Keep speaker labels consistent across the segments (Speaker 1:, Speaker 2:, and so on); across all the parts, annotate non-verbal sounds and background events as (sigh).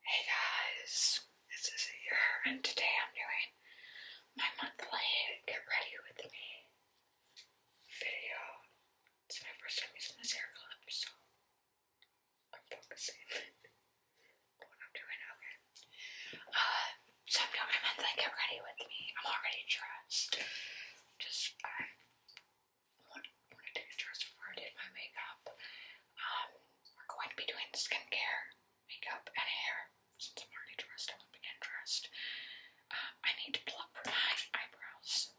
Speaker 1: Hey guys, this is Year, and today I'm doing my monthly Get Ready With Me video. It's my first time using this hair clip, so I'm focusing (laughs) on what I'm doing. Okay. Uh, so I'm doing my monthly Get Ready With Me. I'm already dressed. Just, I wanted to get dressed before I did my makeup. Um, we're going to be doing skincare, makeup, and hair. Since I'm already dressed, I won't be dressed. Um, I need to pluck my eyebrows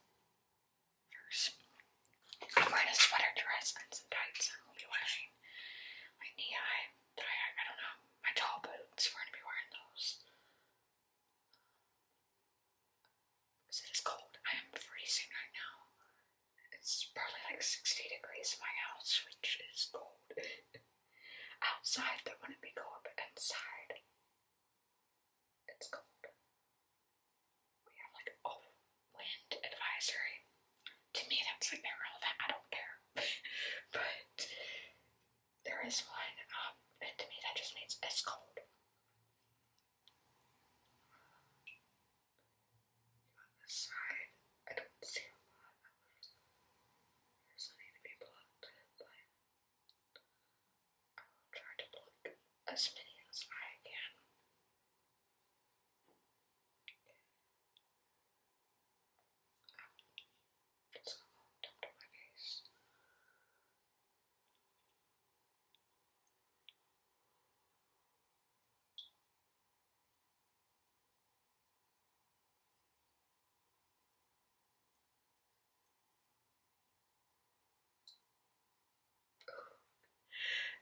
Speaker 1: first. I'm wearing a sweater dress and some tights. I'm going to be wearing my knee high, thigh high, I don't know, my tall boots. We're going to be wearing those. Because it is cold. I am freezing right now. It's probably like 60 degrees in my house, which is cold. (laughs) Outside, there wouldn't be cold, but inside, it's cold. We have like a wind advisory. To me, that's like irrelevant. I don't care. (laughs) but there is one, um, and to me, that just means it's cold. On this side, I don't see a lot. I there's need to be but I will try to pluck as many as I can. It's all up to my face.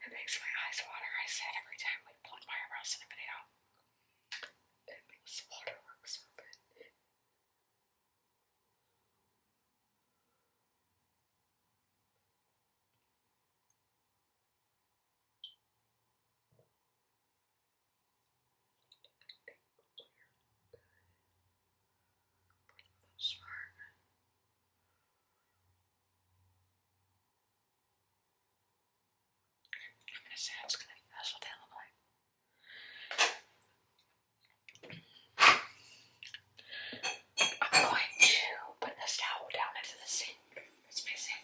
Speaker 1: It makes my eyes water. I said every time we pulled my eyebrows in a video. It makes waterworks open. I'm gonna say it's gonna be special down the line. I'm going to put this towel down into the sink. It's basic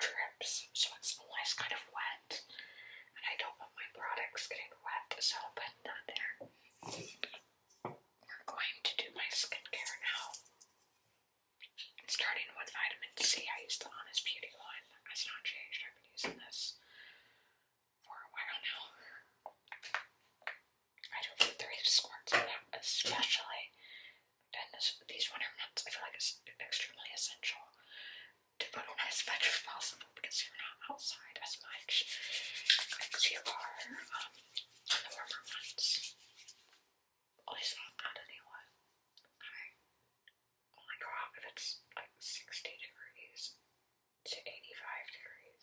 Speaker 1: drips, so it's always kind of wet. And I don't want my products getting wet, so i put that there. We're going to do my skincare now. Starting with vitamin C, I use the Honest Beauty one. It's not changed. I've been using this for a while now. I do three squirts especially then these winter months, I feel like it's extremely essential to put on as much as possible because you're not outside as much as you are um, the warmer months. At least not, not anyone. Oh my god, it's like 60 degrees to 85 degrees,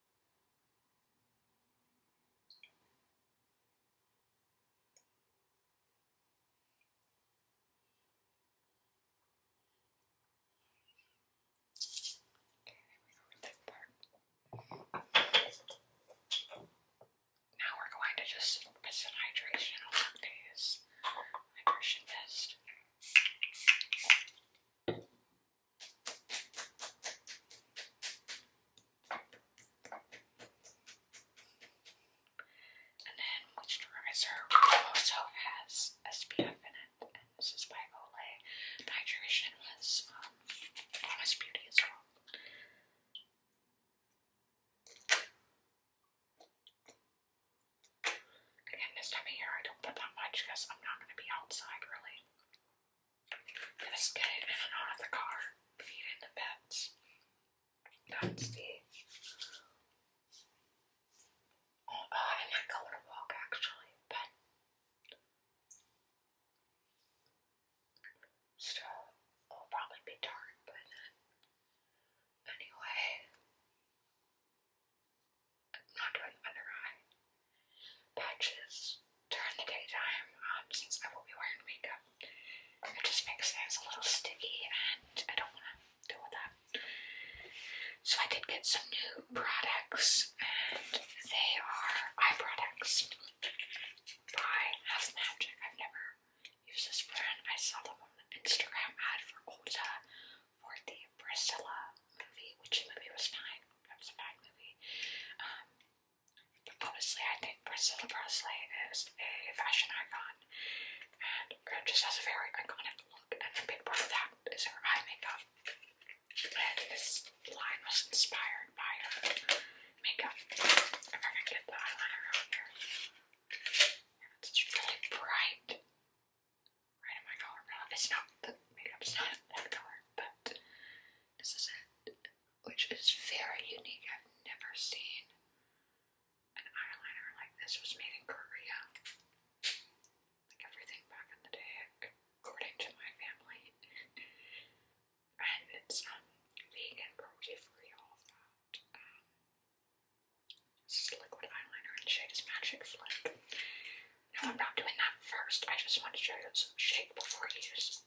Speaker 1: Okay, there Now we're going to just put some hydration on Hydration mist. And then moisturizer also has SPF in it, this is by Olay. Hydration was um, Again, this time of year I don't put that much because I'm not going to be outside really. This guy in out of the car, feeding the pets. That's oh, I might go on a walk actually, but still, it'll probably be dark by Anyway, not doing under eye patches during the daytime um, since I will be wearing makeup. It just makes things a little sticky and I don't want to deal with that. So I did get some new products and they are eye products by Half Magic. I've never used this brand. I saw them on an Instagram ad for Ulta for the Priscilla movie, which movie was fine. That was a bad movie. Um, Priscilla Presley is a fashion icon and just has a very iconic look, and a big part that is her eye makeup. And this line was inspired by her makeup. If I can get the eyeliner out here, it's really bright, right in my color. it's not the makeup's not that color, but this is it, which is very unique. I've never seen an eyeliner like this was made in Korea. Like everything back in the day, according to my family. and it's um, vegan, probably free, all that. Um, this is liquid eyeliner in the shade is Magic no, I'm not doing that first. I just want to show you some shake before you use.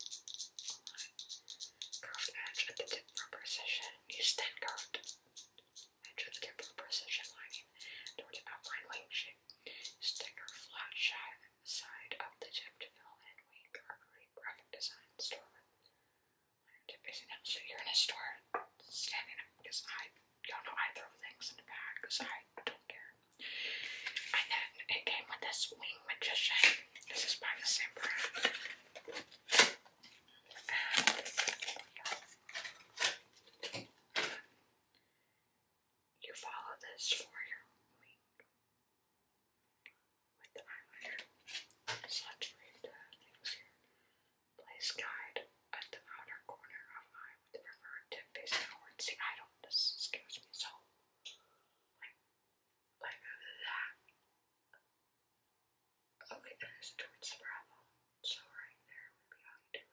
Speaker 1: Curved edge at the tip for precision. Use thin edge at the tip for precision lining towards an outline wing shape. Stick or flat side of the tip to fill in wing or design store. Tip isn't out, so you're in a store standing up because I don't know either of things in the back because I don't care. And then it came with this wing magician. This is by the same brand. you follow this for your wing with the eyeliner. So let the things here. Place guide at the outer corner of eye with the preferred tip facing outwards. See, I don't, this scares me so like that. Okay, and it's towards the bravo. So right there would be how you do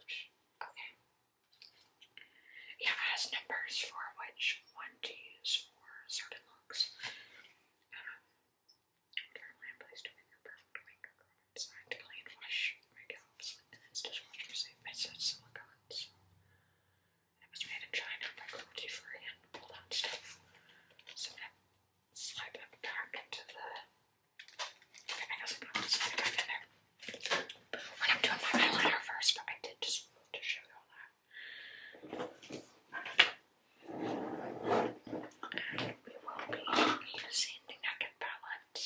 Speaker 1: it. Okay. Yeah, it has numbers for which one to use for certain looks. Um, apparently I'm placed a finger perfect finger girl. It's an actively and fresh recalcitrant and its dishwasher safe by such silicones. It was made in China by cruelty free and stuff. So I put it back into the. I am doing my eyeliner first, but I did just want to show you all that. And we will be, be the nugget pellets.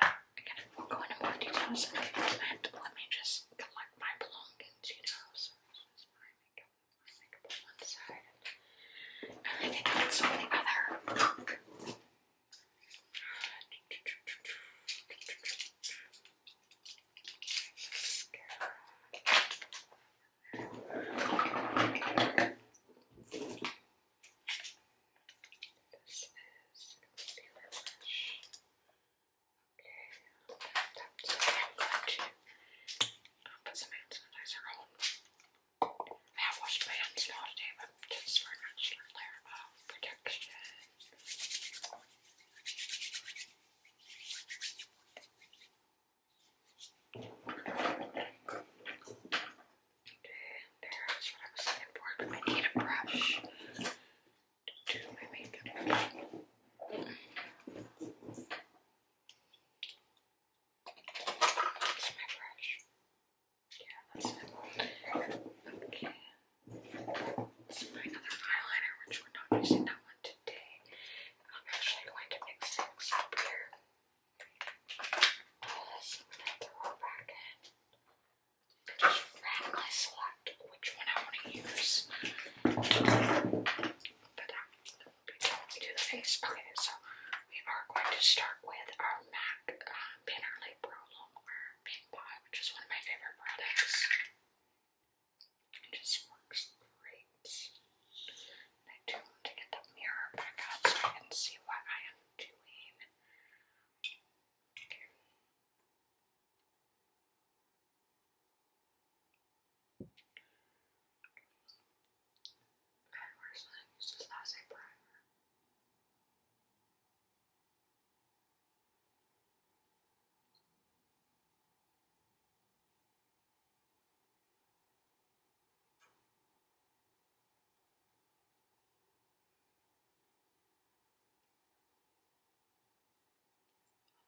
Speaker 1: Again, we details in a Let me just collect my belongings, you know. So this the other. Okay. This is concealer brush. Okay, that's I'm going to put some hand sanitizer on. I have washed my hands now today, but just for an extra layer of protection there is what I was looking for, I need a brush to do my makeup. That's my brush. Yeah, that's it. Okay. This my other eyeliner, which we're not using that one today. I'm actually going to mix things up here. This and the roll bracket. Just randomly select which one I want to use. But um, before we do the face, okay, so we are going to start with our MAC uh, Banner Light Pro Longwear Pink Pie, which is one of my favorite products. It just works great. And I do want to get the mirror back out so I can see what I am doing. And we're just gonna use this as a primer.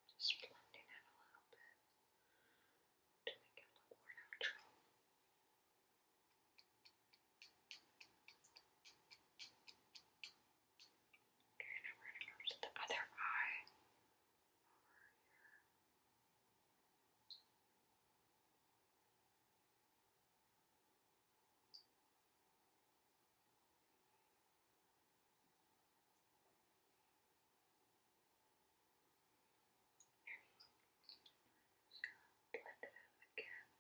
Speaker 1: I'm just blending it a little bit to make it look more natural. Okay, now we're gonna move to the other eye over here blend it in again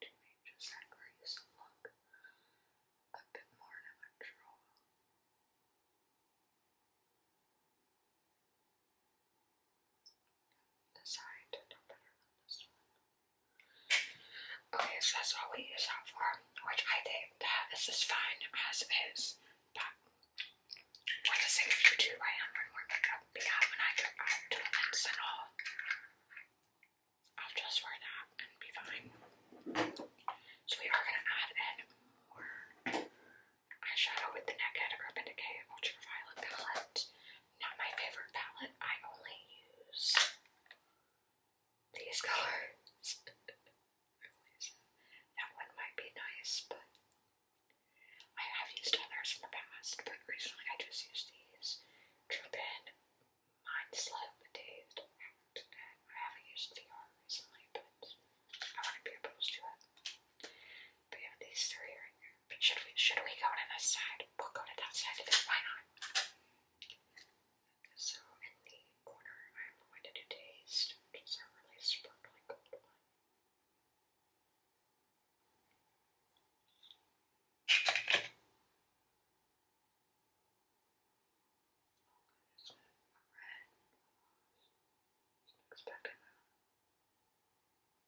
Speaker 1: to make just that crease look a bit more natural. Okay, so that's all we use that for, which I think that is as fine as is. But what I say if you do, I am doing when I get back to I'll just wear that and be fine. So we are gonna add more eyeshadow with the Naked Urban Decay Ultraviolet palette. Not my favorite palette. I only use these (laughs) colors. that one might be nice, but I have used others in the past. But recently, I just used these True Pen Mind Slope I haven't used VR recently, but I want be opposed to it. But these are in should we should we go to this side? We'll go to that side Why not? So in the corner, I'm going to do taste, which a really sparkly gold one. Oh, Expecting that.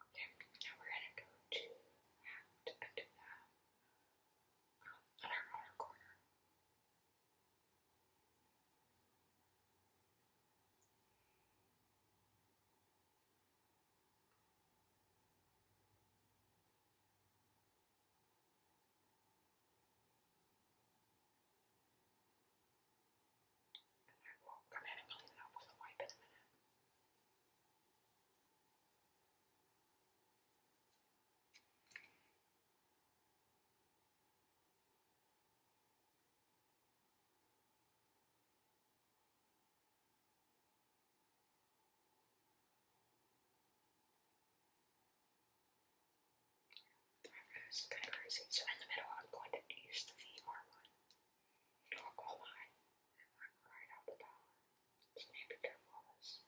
Speaker 1: Okay, now we're gonna go to that and do that on our outer corner. And I will come in and clean it up with a wipe in a minute. So in the middle, I'm going to use the VR one. Not all line. And work right out the top. So maybe careful of this.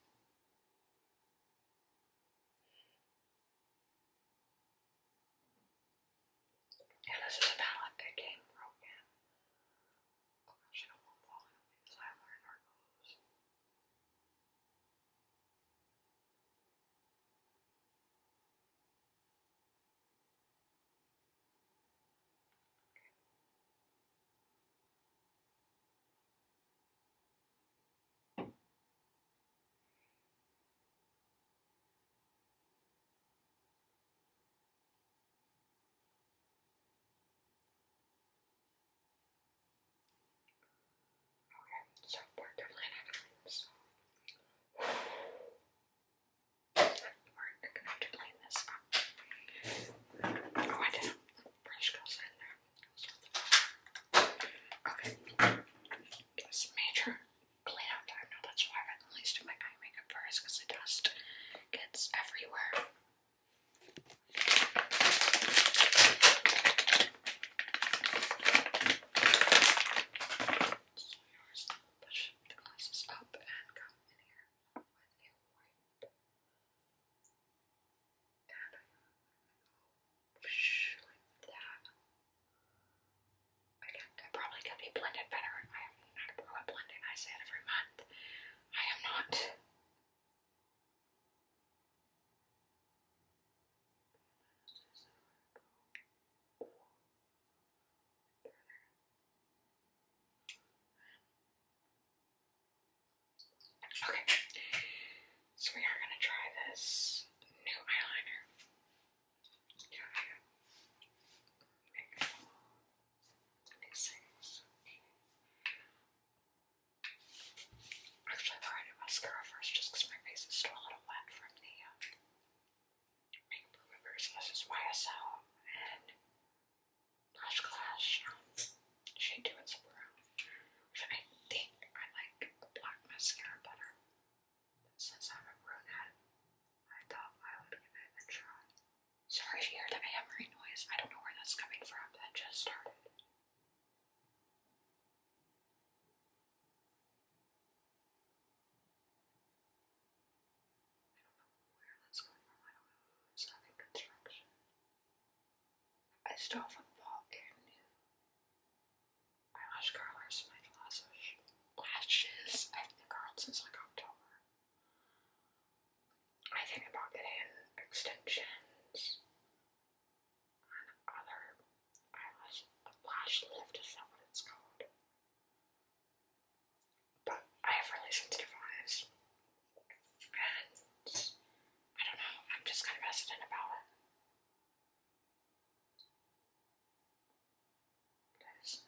Speaker 1: Yeah, this is a palette that came broken. Oh gosh, I don't want to fall in because I learned our goals. Okay. Okay, so we're definitely not gonna leave, so we're gonna have to clean this up. Oh, brush goes in there. okay, it's major clean time now. That's why I at least do my eye makeup first because the dust gets everywhere. So yours, push the glasses up and come in here with a probably could be blended better. I haven't had a blending, I say every month. I am not. Okay, so we are going to try this new eyeliner. I'm Actually, I've already mascara first just because my face is still a little wet from the um, makeup removers. This is YSL and Lash Clash Shade 2 and Sephora. Which I think I like black mascara better. since I haven't grown I thought I would give it a try. Sorry if you hear the hammering noise. I don't know where that's coming from. That just started. I don't know where that's coming from. I don't know who's having construction. I stole from Paul Avenue. I watched Carlos make lots of lashes at the Carlton's like October. I think about getting extensions and other eyelash, lift is not what it's called. But I have really sensitive eyes. And I don't know, I'm just kind of hesitant about it. This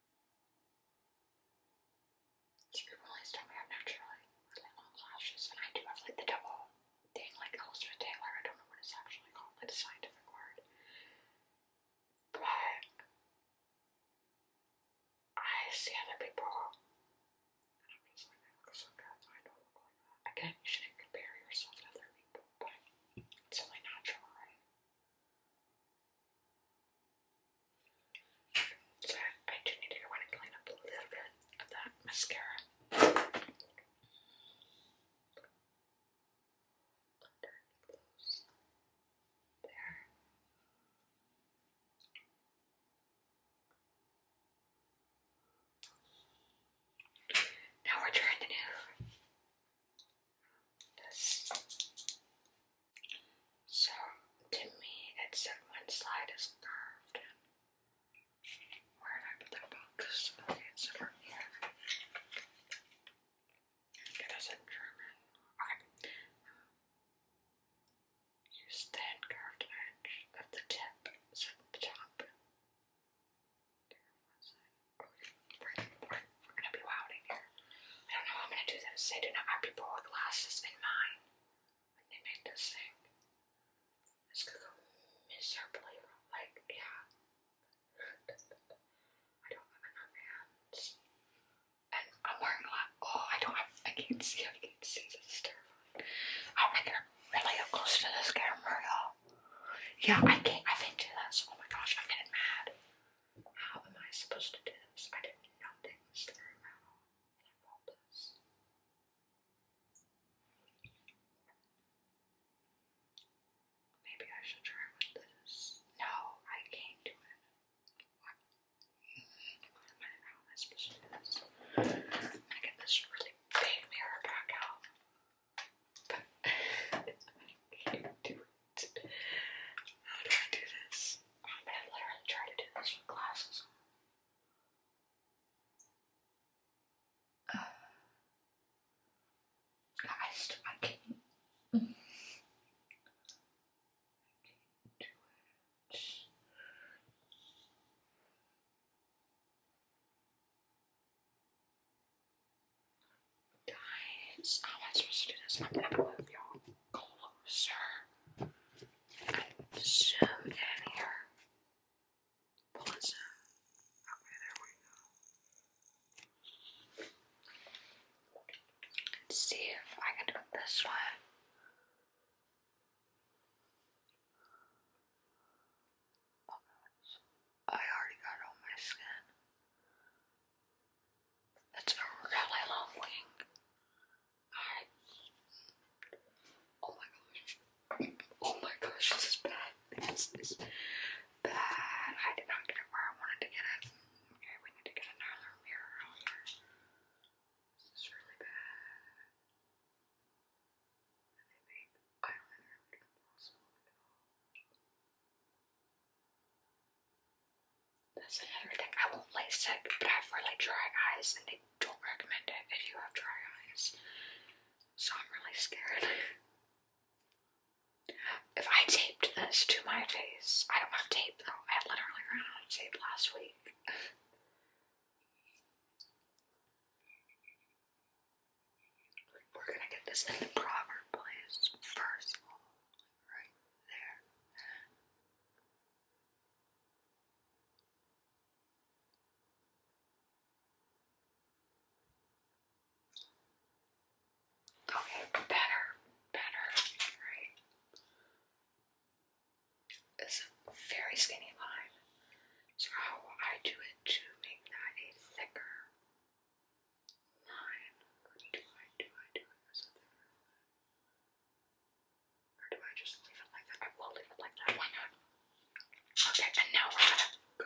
Speaker 1: so you can really start naturally like long lashes, and I do have like the double thing like Elizabeth Taylor. I don't know what it's actually called, like a scientific word. But I see other people, and I'm just like, I oh, look so good, I don't look like that. Again, you shouldn't compare yourself to other people, but it's only natural, so I do need to go in and clean up a little bit of that mascara. There. Now we're trying to do this so to me, it said one slide is curved. Where did I put the box? Okay, it's over German. Use thin curved edge of the tip so the top. Okay, we're, gonna be wilding here. I don't know how I'm going to do this. They do not have people with glasses in mine. when they make this thing. This could go miserably Like, yeah. (laughs) I don't have enough hands. And I'm wearing a Oh, I don't I can't see. I can't see. This is terrifying. I'm to really up close to this camera, Yeah, I can't. I can't do this. Oh my gosh, I'm getting mad. How am I supposed to do this? I didn't know things through at I rolled this. Maybe I should try with this. No, I can't do it. What? Wait a minute, how I supposed to do this? i get this really big mirror back out. But (laughs) I can't do it. How do I do this? Oh, I'm gonna literally try to do this with glasses on. Uh, I just, I not do it. Guys, how am supposed to do this? I'm gonna move y'all closer. so down here. Let's see if I can do this one. Oh, I already got all my skin. That's a really long wing. Alright. Oh my gosh. Oh my gosh, this is bad. This is bad. I did not get it where I wanted to get it. Okay, we need to get another mirror This is really bad. eyeliner that's another thing. I won't lay sick, but I have really dry eyes, and they don't recommend it if you have dry eyes. So I'm really scared. If I taped this to my face, I don't have tape though. I literally ran out of tape last week. We're gonna get this in the proper place first of there. Okay, better, better, right? It's a very skinny line. So how I do it to make that a thicker line? Do I do I do it as a thicker or do I just leave it like that? I will leave it like that. Why Okay, and now go.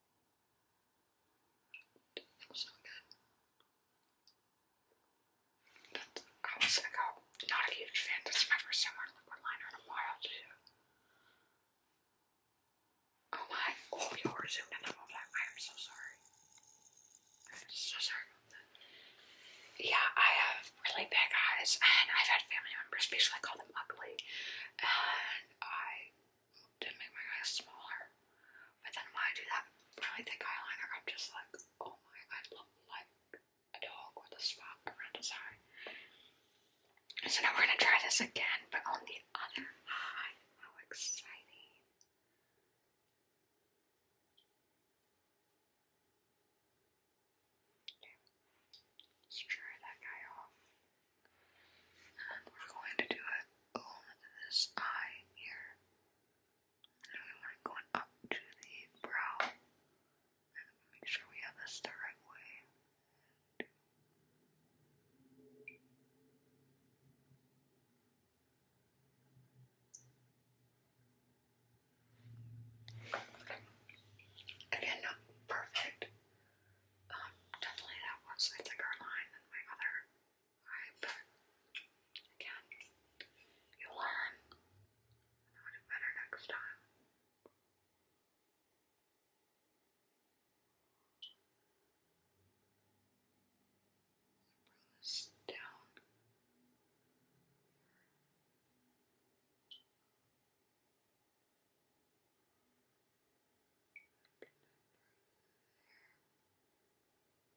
Speaker 1: I was gonna go. Not a huge fan. This is my first time liquid liner in a while, too. Oh my, oh, you were zoomed in on that. I am so sorry. I'm so sorry about that. Yeah, I have really big eyes, and I've had family members basically call them ugly, and I to make my eyes smaller. But then when I do that really thick eyeliner, I'm just like, oh my, I look like a dog with a spot around his eye. so now we're gonna try this again, but on the other eye. How exciting! Let's try that guy off. And we're going to do it on this eye here. And we want to go up to the brow make sure we have this the right way. Again, perfect, um, definitely that was a line than my other eye, but again, you learn. And I'll do better next time. down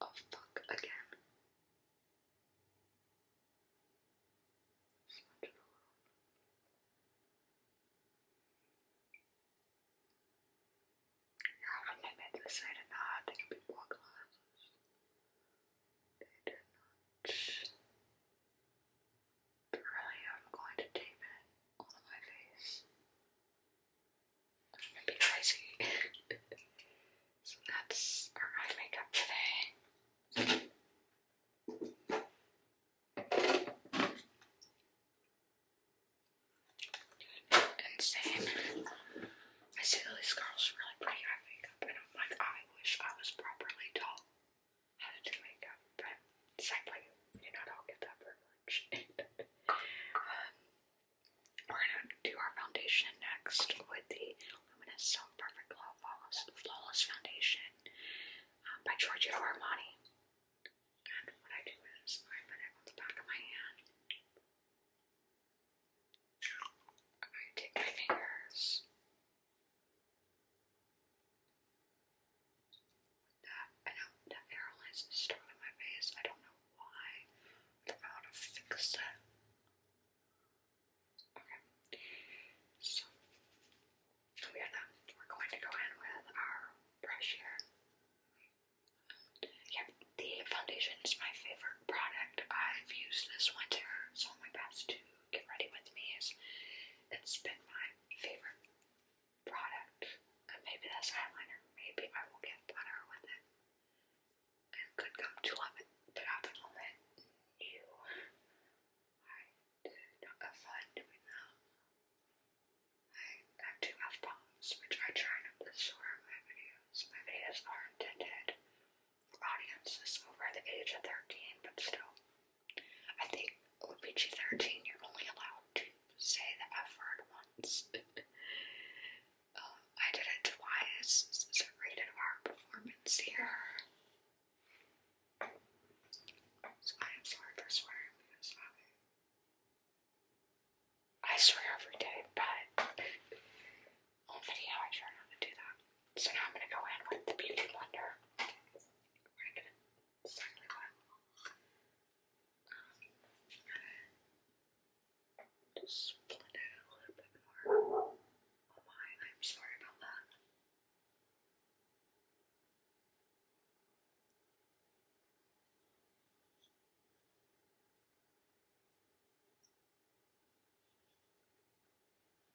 Speaker 1: there. Oh again. Smudge it a little. Yeah, when the decision, nah, I be more They did not. But really, I'm going to tape it all on my face. i gonna be crazy. (laughs) so that's our eye makeup today. Insane. I see that these girls really pretty eye makeup, and I'm like, I wish I was properly taught how to do makeup, but sadly we did not all get that privilege. (laughs) Um, we're gonna do our foundation next with the Luminous Self Perfect Glow Flawless, Flawless Foundation um, by Giorgio Armani. And what I do is I put it on the back of my hand. I take my fingers that I know that airlines stuck on my face. I don't know why. I don't to fix it. Okay. So we are done. We're going to go in with our brush here. Yeah, the foundation is my favorite product I've used this winter. So my best to get ready with me is it's been my favorite product. And maybe that's eyeliner. Maybe I will get better with it. could come to love it, but not love it. Ew. I have fun doing that. I, I do have problems, which I try not to sort in my videos. My videos are intended for audiences over the age of 13, but still, I think PG 13, you're only allowed to say the F word once. (laughs) Um, I did it twice. This is a rated R performance here. So I am sorry for swearing because I, swear every day, but on video I try not to do that. So now I'm going to go in with the Beauty Blender. We're going to silently just blend it a little bit more. Oh my, I'm sorry about that.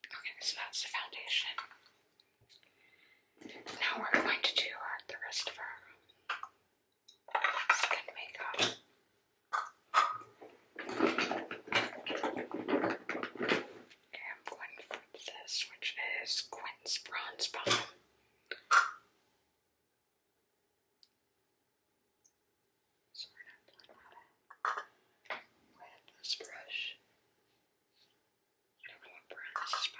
Speaker 1: Okay, so that's the foundation. Now we're going to do uh, the rest of our um, skin makeup. I'm going for this, which is Quince Bronze Balm. with this brush. I don't know what by.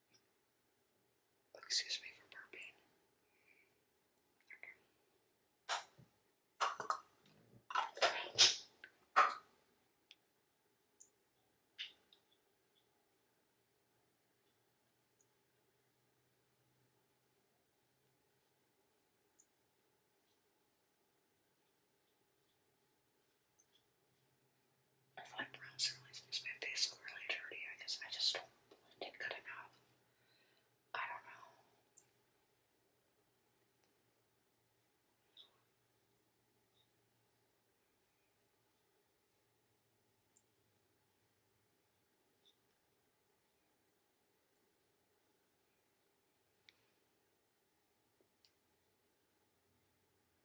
Speaker 1: Excuse me for burping. Okay. If my brows are like this, my face look really dirty. I guess I just don't blend it good enough. I don't know.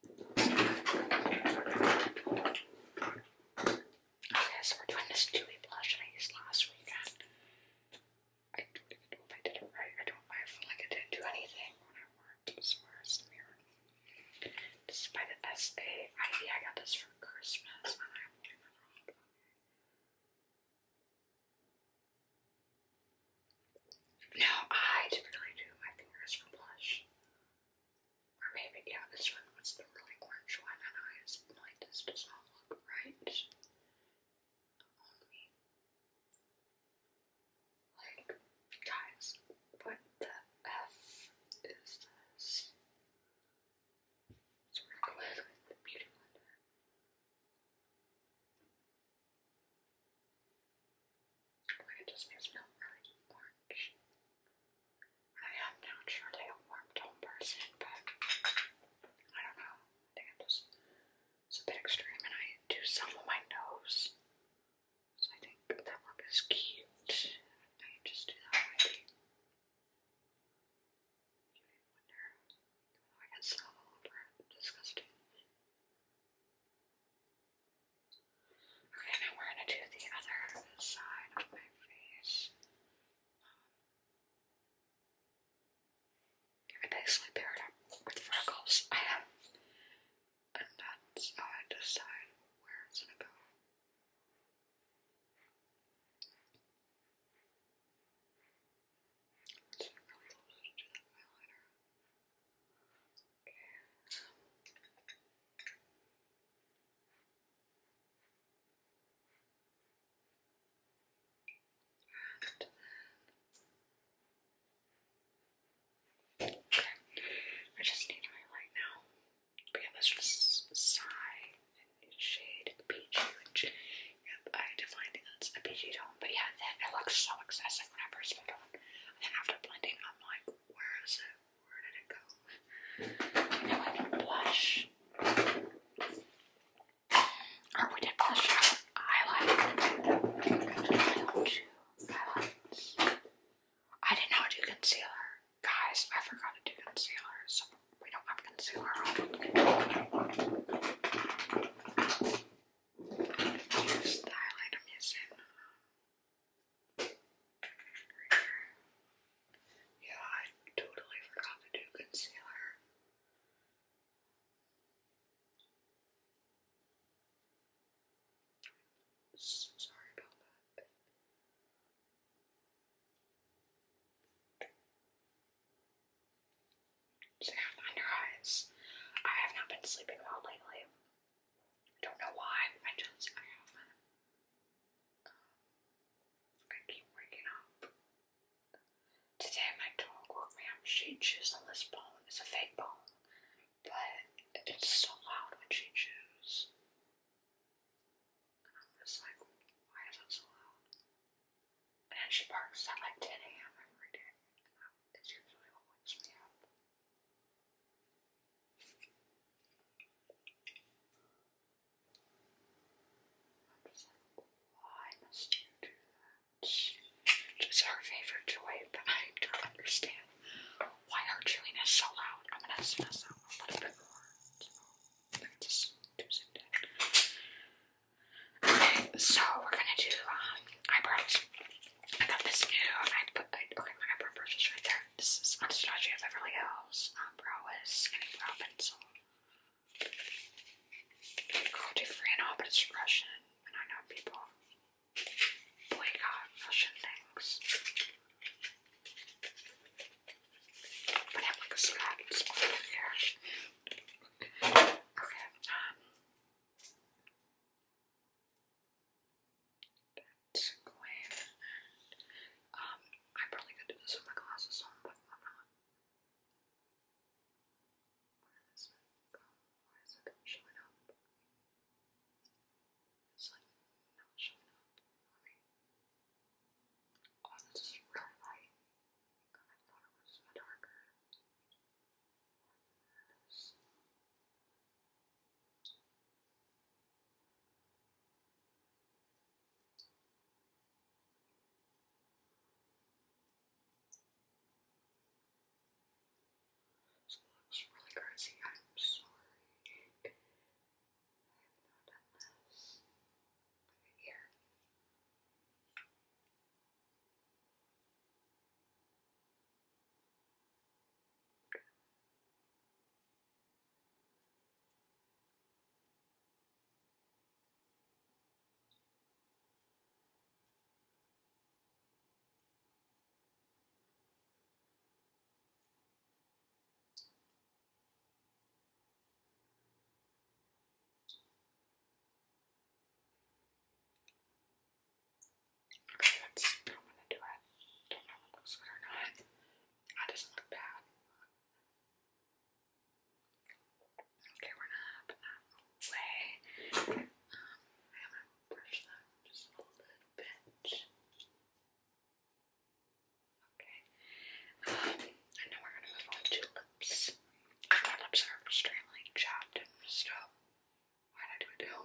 Speaker 1: Okay, so we're doing this dewy blush I used last weekend. I don't know if I did it right. I don't. I feel like I didn't do anything when I worked as far the mirror. got this for Christmas, and I only never had do my fingers for blush. Or maybe, yeah, this one was the really orange one, and I was like, this does not look right on me. Like, guys, what the F is this? So we're gonna go ahead with the beauty blender it just makes me I am not sure I am a warm tone person, but I don't know. I think i just a bit extreme and I do some on my nose. So I think that look is cute. I just do that You wonder I can smell all over Disgusting. Okay, now we're gonna do the other side of my face. I um, basically paired up with freckles. I have, and that's how I decide where it's gonna go. And then, okay, I just need my light now. But yeah, that's just shade peachy, yep, I defined it as a peachy tone. But yeah, then it looks so excessive when I first put it on. And then after blending, I'm like, where is it? Where did it know, I did blush. Or we did blush on I did not do concealer. Guys, I forgot to do concealer, so we don't have concealer on. Here's the yeah, I totally forgot to do concealer. sorry about that. So under eyes. I have not been sleeping well lately. Don't know why. I just I have um, I keep waking up. Today my dog woke me up. She chews on this bone. It's a fake bone, but it's so loud when she chews. And I'm just like, why is it so loud? And she barks at like 10 a.m. every day. And usually wakes me up. Why must you do that? It's her favorite toy, but I don't understand why her chewing is so loud. I'm gonna smash out a little bit more. do some Okay, so we're gonna do um eyebrows. I got this new I put I, okay my eyebrow brush right there this is Anastasia Beverly Hills um, brow is any brow pencil. Cruelty free and all, but Russian, things. But I'm like a slab, Okay, um, that's glam. Um, I probably could do this with my glasses on, but I'm not. It's like not showing up. oh, this is really light. I thought it was darker. So that looks really crazy. I'm sorry. I have not done this. here. Okay, that's, I'm gonna do it. Don't know if it looks good or not. That doesn't look bad. Okay, we're gonna that away. I'm gonna brush that just a little bit. Okay. Um, and now we're gonna move on lips. My lips are extremely chapped and so why did do a deal?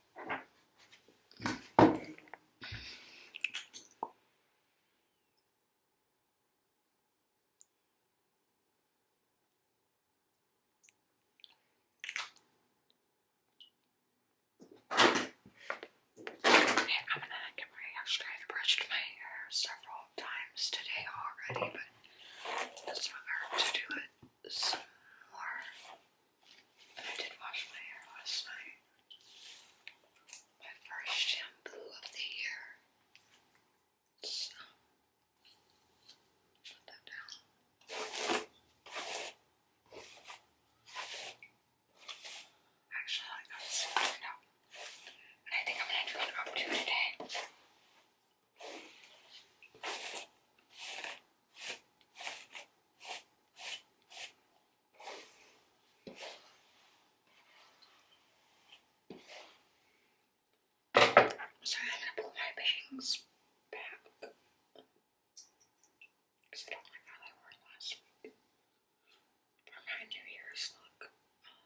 Speaker 1: I'm gonna get my extra. I've brushed my hair several times today already, but it's not to do it more. I did wash my hair last night. My first shampoo of the year. So, put that down. Actually, I got this figured out. And I think I'm going to do an up today. Sorry, I'm gonna pull my bangs back. Because I don't like how they were last week. my New Year's look. Uh,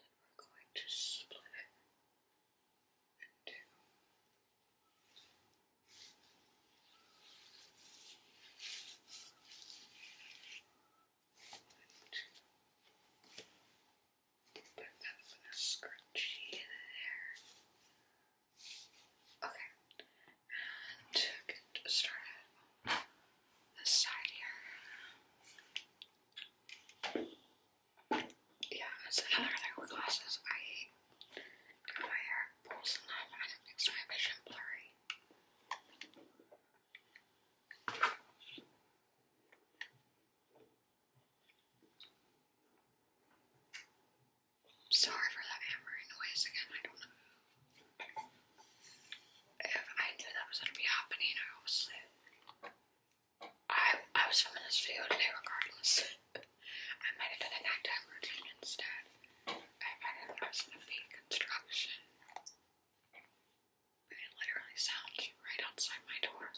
Speaker 1: then we're going to split two. two. Put that in a scrunchie there. Okay. And uh, get started on this side here yeah, that's another thing with glasses I hate. my hair pulls and I it makes my vision blurry. Sorry for that hammering noise again, I don't know. If I knew that was gonna be happening, I obviously I I was filming this video today regardless. (laughs) I might have done an act of routine instead. I might have was gonna be construction. But literally sounds right outside my door.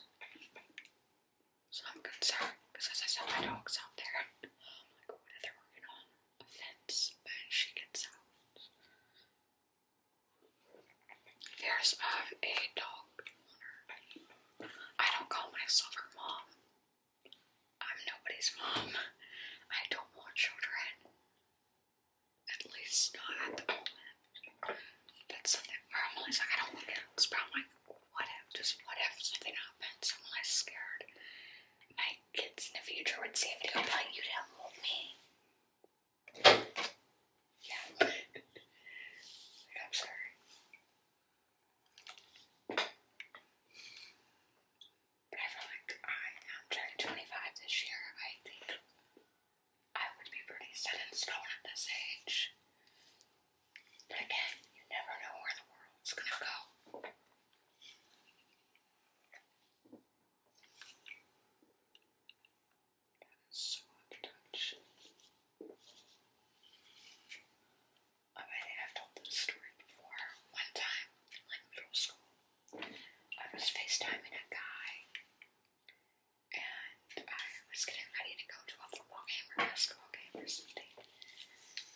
Speaker 1: So I'm concerned because as I said my dog's out there. I'm like, what if they're working on a fence and she gets out? There's a dog owner. I don't call myself her mom. I'm nobody's mom. I don't want children. At least not at the moment. That's something where I'm like, I don't want kids, but I'm like, what if, just what if something happens? I'm less scared. My kids in the future would see a video like, you didn't want me. Yeah. (laughs) like, I'm sorry. But I feel like I am um, turning 25 this year. I think I would be pretty set in stone at this age. But again, you never know where the world's gonna go. That is touch. I think I've told this story before. One time, like middle school, I was FaceTiming a guy, and I was getting ready to go to a football game or basketball game or something,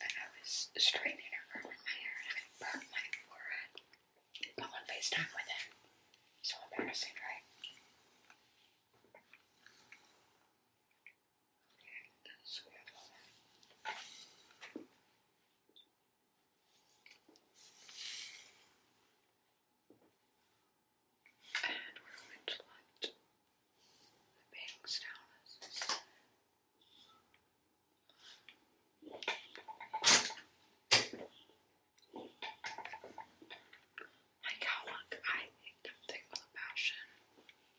Speaker 1: and I was straightening or my hair, and I burnt my forehead while on FaceTime with him. So embarrassing, right? and sweatland. we're the bangs down as this. Like I think I'm thinking about passion.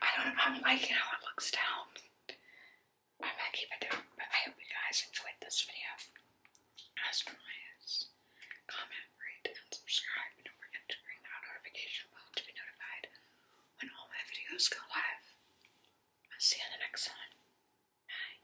Speaker 1: I don't know. I'm how it looks down. I'm keep it down, but I hope you guys enjoyed this video. As always, comment, rate, and subscribe. And don't forget to ring that notification bell to be notified when all my videos go live. I'll see you in the next one. Bye.